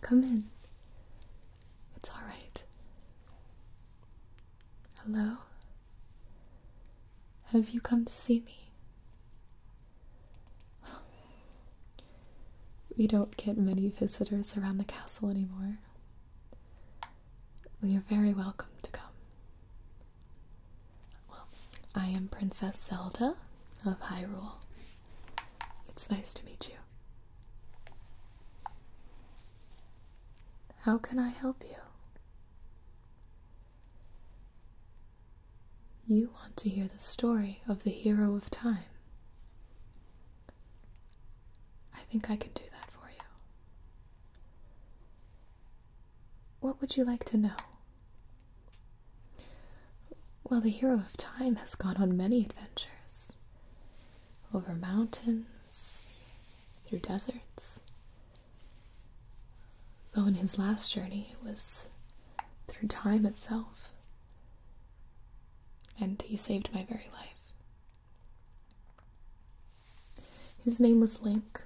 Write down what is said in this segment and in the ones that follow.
Come in. It's all right. Hello? Have you come to see me? We don't get many visitors around the castle anymore. You're very welcome to come. Well, I am Princess Zelda of Hyrule. It's nice to meet you. How can I help you? You want to hear the story of the hero of time. I think I can do that for you. What would you like to know? Well, the hero of time has gone on many adventures over mountains, through deserts. Though in his last journey it was through time itself, and he saved my very life. His name was Link,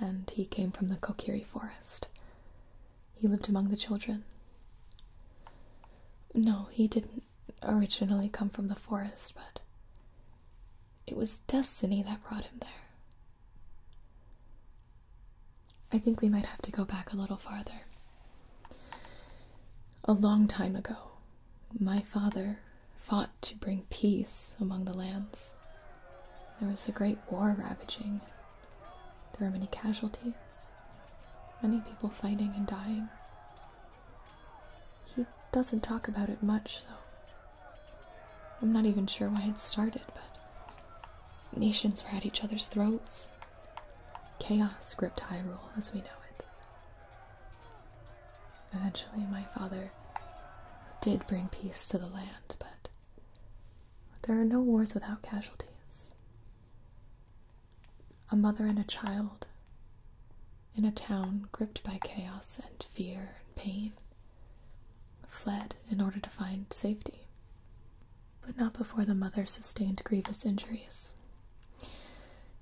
and he came from the Kokiri forest. He lived among the children. No, he didn't originally come from the forest, but it was destiny that brought him there. I think we might have to go back a little farther. A long time ago, my father fought to bring peace among the lands. There was a great war ravaging. There were many casualties, many people fighting and dying. He doesn't talk about it much, so I'm not even sure why it started, but nations were at each other's throats. Chaos gripped Hyrule as we know it. Eventually, my father did bring peace to the land, but there are no wars without casualties. A mother and a child in a town gripped by chaos and fear and pain fled in order to find safety, but not before the mother sustained grievous injuries.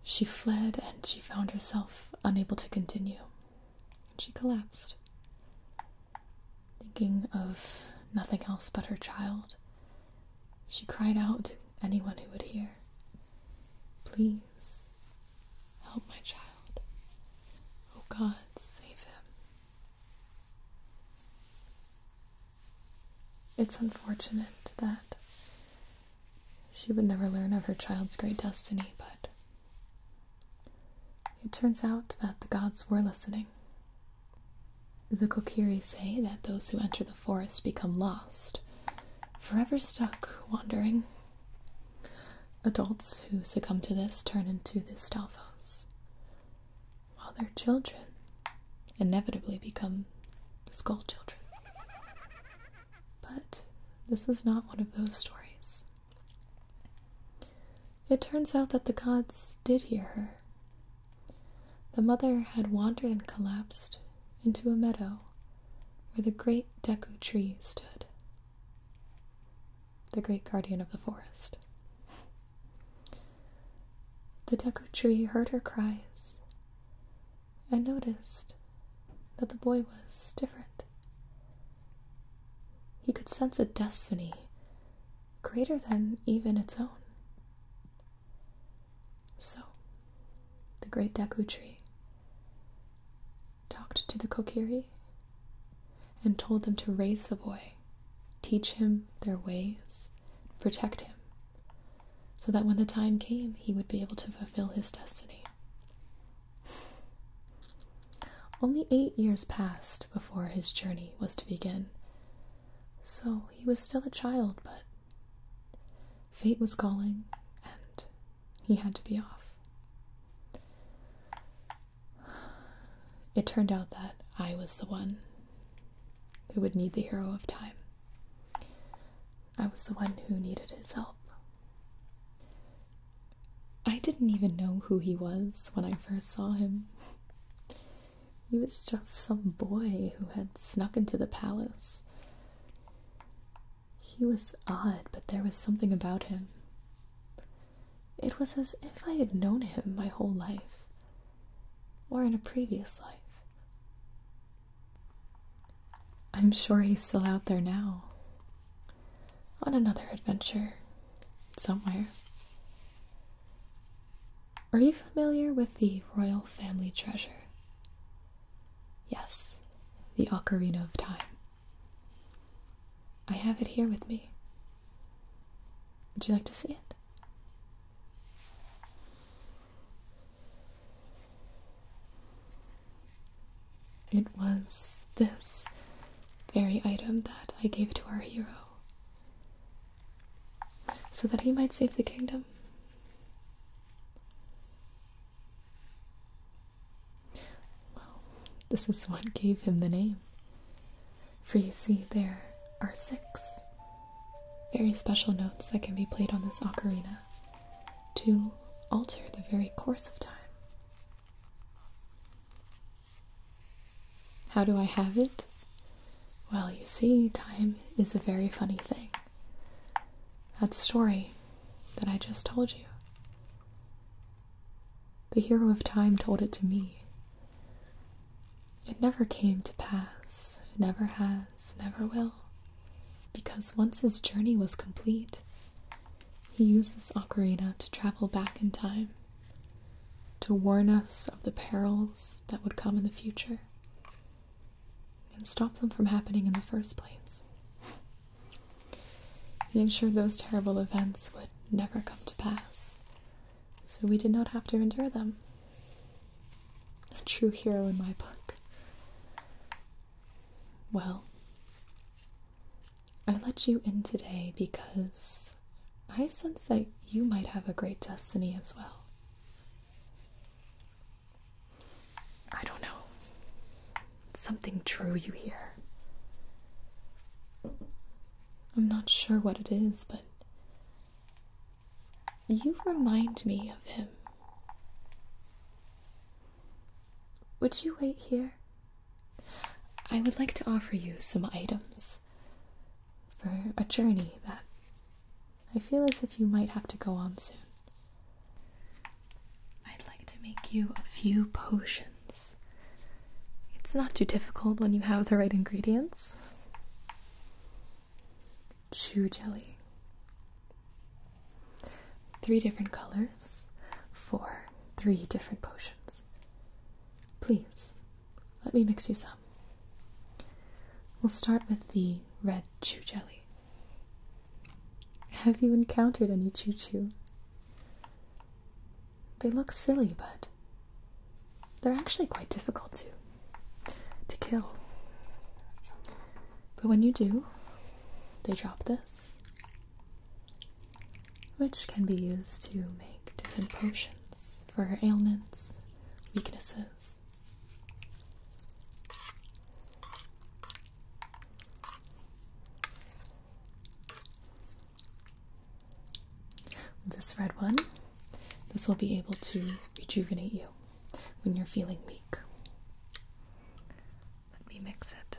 She fled and she found herself unable to continue. She collapsed. Thinking of nothing else but her child, she cried out to anyone who would hear, Please help my child. Oh God, save him. It's unfortunate that she would never learn of her child's great destiny, but it turns out that the gods were listening. The Kokiri say that those who enter the forest become lost, forever stuck wandering. Adults who succumb to this turn into the Stalfos, while their children inevitably become the Skull Children. But this is not one of those stories. It turns out that the gods did hear her. The mother had wandered and collapsed into a meadow where the great Deku tree stood, the great guardian of the forest. The Deku tree heard her cries and noticed that the boy was different. He could sense a destiny greater than even its own. So, the great Deku tree talked to the Kokiri and told them to raise the boy, teach him their ways, protect him, so that when the time came, he would be able to fulfill his destiny. Only eight years passed before his journey was to begin, so he was still a child, but fate was calling and he had to be off. It turned out that I was the one who would need the hero of time. I was the one who needed his help. I didn't even know who he was when I first saw him. He was just some boy who had snuck into the palace. He was odd, but there was something about him. It was as if I had known him my whole life, or in a previous life. I'm sure he's still out there now, on another adventure somewhere. Are you familiar with the royal family treasure? Yes, the Ocarina of Time. I have it here with me. Would you like to see it? It was this very item that I gave to our hero so that he might save the kingdom. Well, this is what gave him the name. For you see, there are six very special notes that can be played on this ocarina to alter the very course of time. How do I have it? Well, you see, time is a very funny thing. That story that I just told you. The hero of time told it to me. It never came to pass, it never has, never will. Because once his journey was complete, he uses Ocarina to travel back in time, to warn us of the perils that would come in the future, and stop them from happening in the first place. He ensured those terrible events would never come to pass, so we did not have to endure them. A true hero in my book. Well, I let you in today because I sense that you might have a great destiny as well. I don't know. Something drew you here. I'm not sure what it is, but you remind me of him. Would you wait here? I would like to offer you some items for a journey that I feel as if you might have to go on soon. I'd like to make you a few potions. It's not too difficult when you have the right ingredients. Chew jelly. Three different colors for three different potions. Please, let me mix you some. We'll start with the red chew jelly. Have you encountered any chew chew? They look silly, but they're actually quite difficult to to kill. But when you do, they drop this which can be used to make different potions for ailments, weaknesses. This red one, this will be able to rejuvenate you when you're feeling weak. Let me mix it.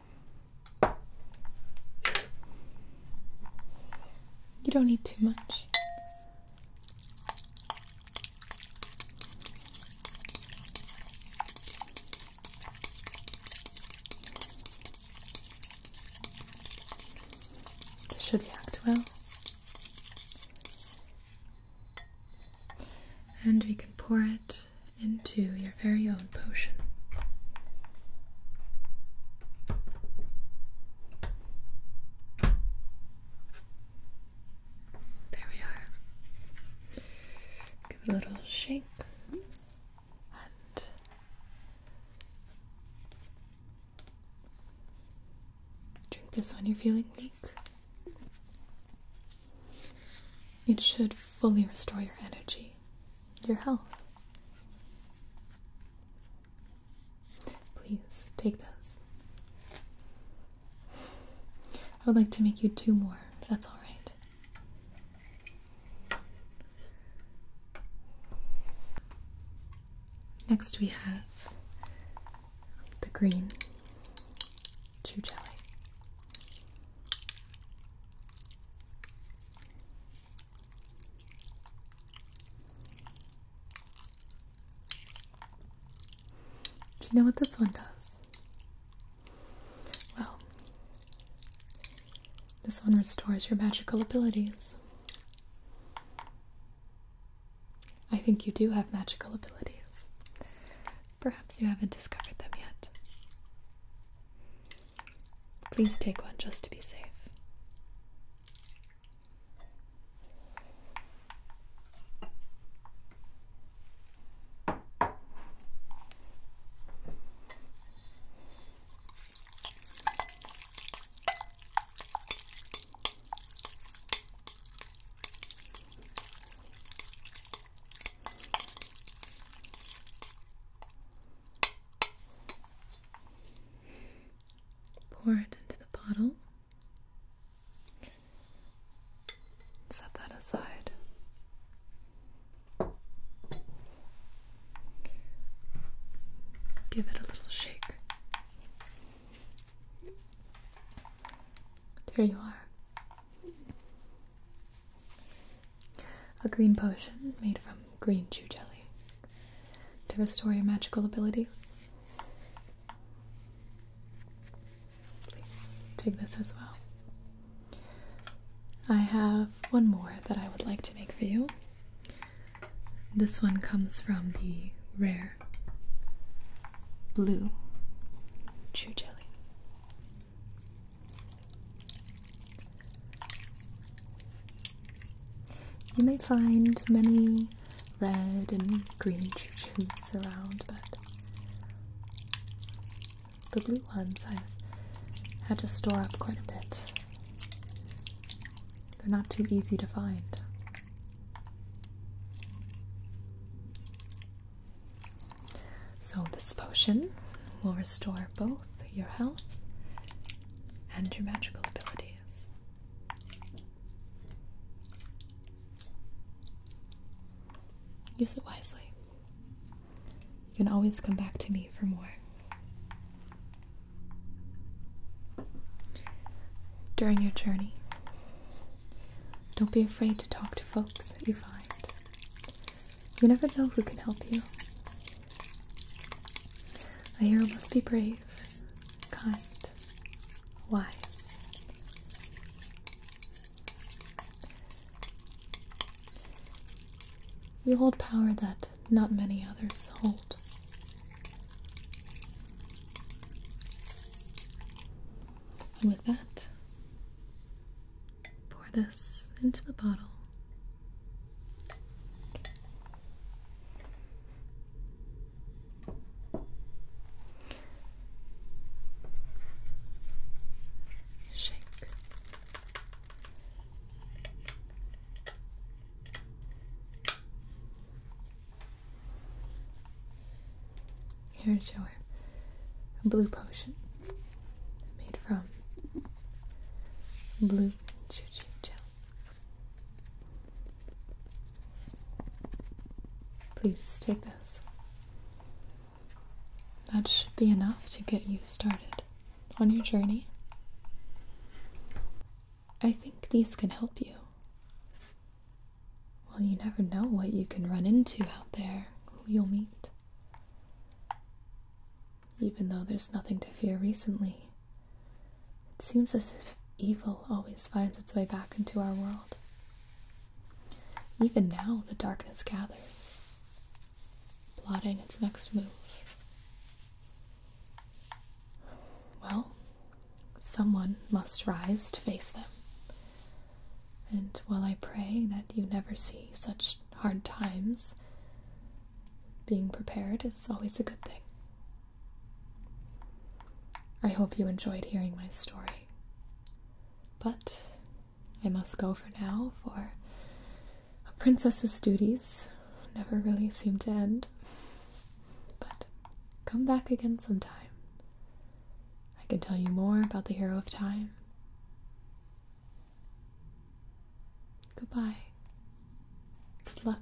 You don't need too much. This should react well. And we can pour it into your very own potion. There we are. Give it a little shake drink this when you're feeling weak. It should fully restore your energy your health. Please take this. I would like to make you two more, if that's all right. Next, we have the green chew jelly. Do you know what this one does? Well, this one restores your magical abilities. I think you do have magical abilities. Perhaps you haven't discovered them yet. Please take one just to be safe. Pour it into the bottle. Set that aside. Give it a little shake. There you are. A green potion made from green chew jelly to restore your magical abilities. Please take this as well. I have one more that I would like to make for you. This one comes from the rare blue chew jelly. You may find many red and green churches around, but the blue ones i had to store up quite a bit. They're not too easy to find. So, this potion will restore both your health and your magical abilities. Use it wisely. You can always come back to me for more. During your journey, don't be afraid to talk to folks that you find. You never know who can help you. A hero must be brave, kind, wise. You hold power that not many others hold. And with that, pour this into the bottle. Shake. Here's your or a blue potion made from blue choo gel. Please take this. That should be enough to get you started on your journey. I think these can help you. Well, you never know what you can run into out there, who you'll meet. Even though there's nothing to fear recently, it seems as if evil always finds its way back into our world. Even now, the darkness gathers, plotting its next move. Well, someone must rise to face them. And while I pray that you never see such hard times, being prepared is always a good thing. I hope you enjoyed hearing my story. But I must go for now, for a princess's duties never really seem to end. But come back again sometime. I can tell you more about the hero of time. Goodbye. Good luck.